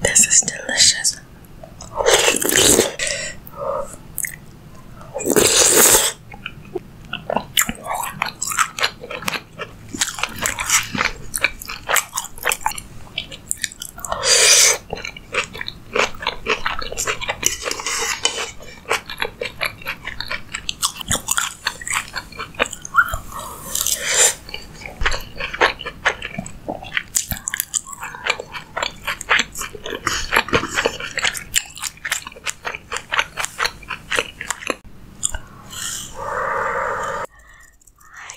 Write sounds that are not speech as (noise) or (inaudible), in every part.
This is delicious. Hi,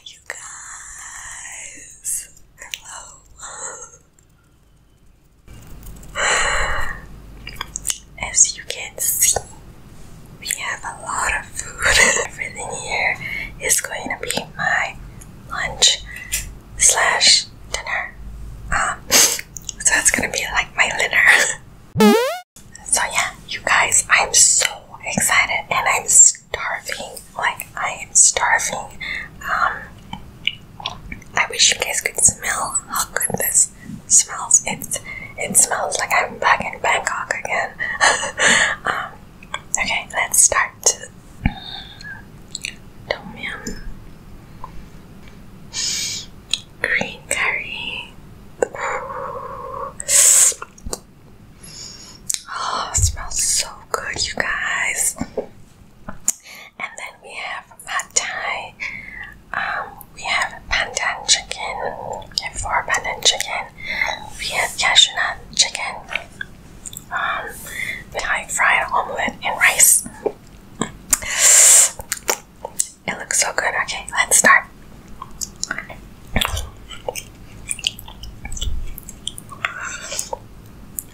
you guys. Hello. (laughs) (sighs) As you can see, we have a lot of food. (laughs) Everything here is going to be my lunch slash dinner. Um, (laughs) so it's gonna be like my dinner. (laughs) so yeah, you guys, I'm so excited and I'm starving. Like, I am starving. Um, I wish you guys could smell how good this smells. It's, it smells like I'm back in Bangkok again. (laughs) Um, okay, let's start. Tom yum. Green curry. Oh, smells so good, you guys. And then we have pad thai. Um, we have pandan chicken. We have four pandan chicken. We have cashew nut chicken. Um, high fried omelette and rice. It looks so good. Okay, let's start.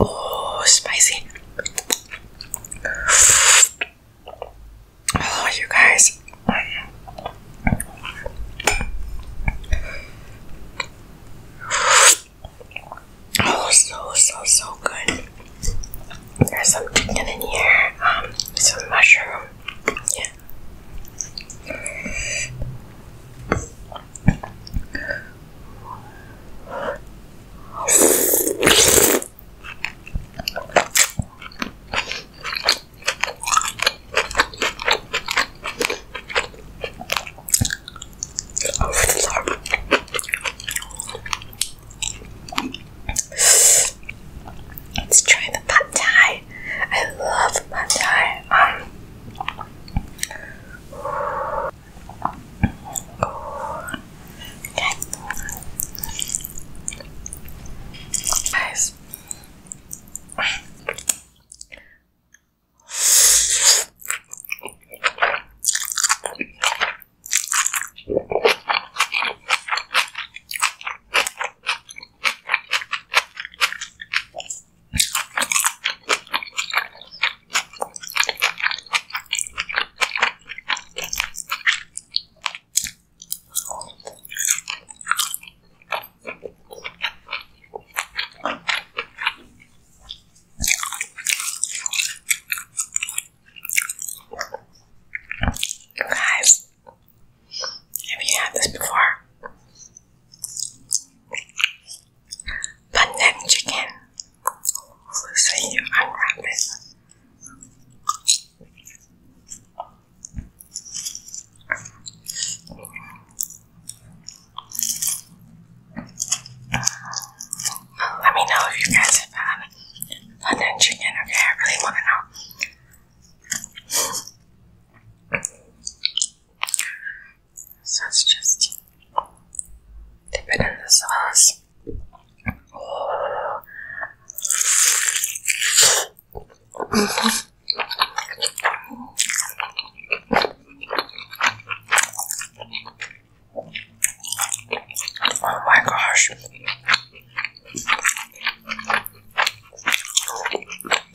Oh, spicy. Oh, you guys. Oh, so, so, so good. There's some chicken in here, um, some mushroom. Yeah, Let's try the pad thai. I love my time. Um, okay. Guys. You guys, have you had this before? Pandan chicken. let me know if you guys have had pandan chicken. Okay, I really want to know. So it's just dip it in the sauce. Oh. my gosh.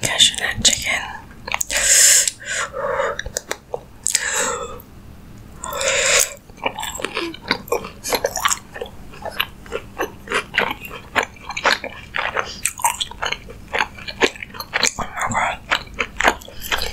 Cashew nut chicken. Oh my god.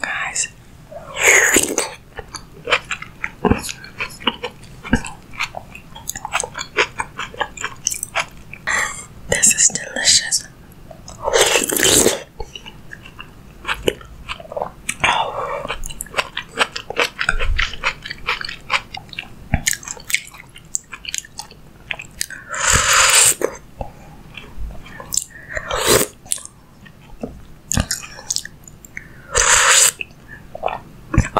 guys. This is delicious.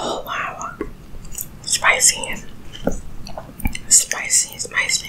Oh wow. Spicy. Spicy, spicy.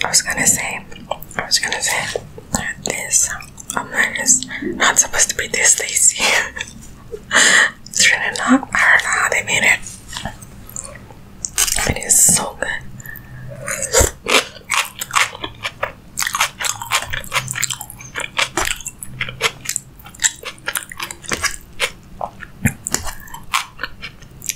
I was gonna say, I was gonna say, this. Oh man, it's not supposed to be this lazy. it's really not. I don't know how they made it. it is so good.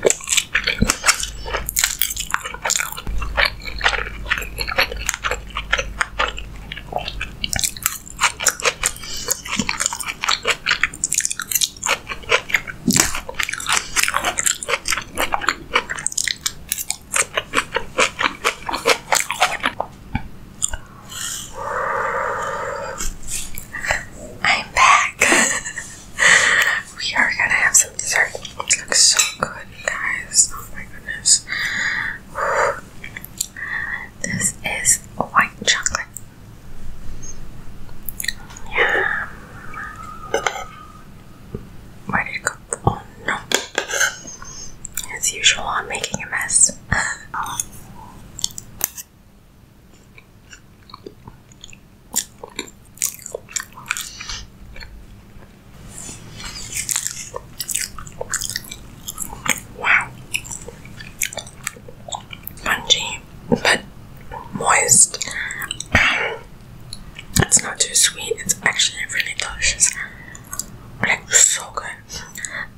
I'm back. (laughs) we are gonna have some dessert. It looks so good, guys. Oh my goodness. This is white chocolate. Where did it go? Oh no. As usual, I'm making a mess. Wow. Spongy, but moist. Um, it's not too sweet. It's actually really delicious. Like so good.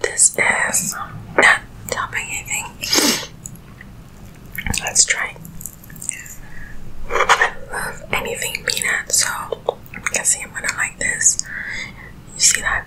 This is not topping anything. Let's try. I love anything peanut, so i guess I'm gonna like this. You see that?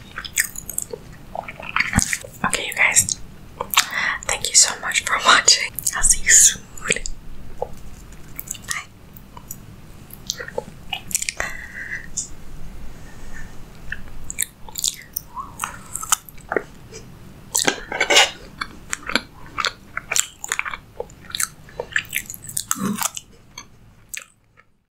Okay, you guys, thank you so much for (laughs) watching. I'll see you soon. Bye.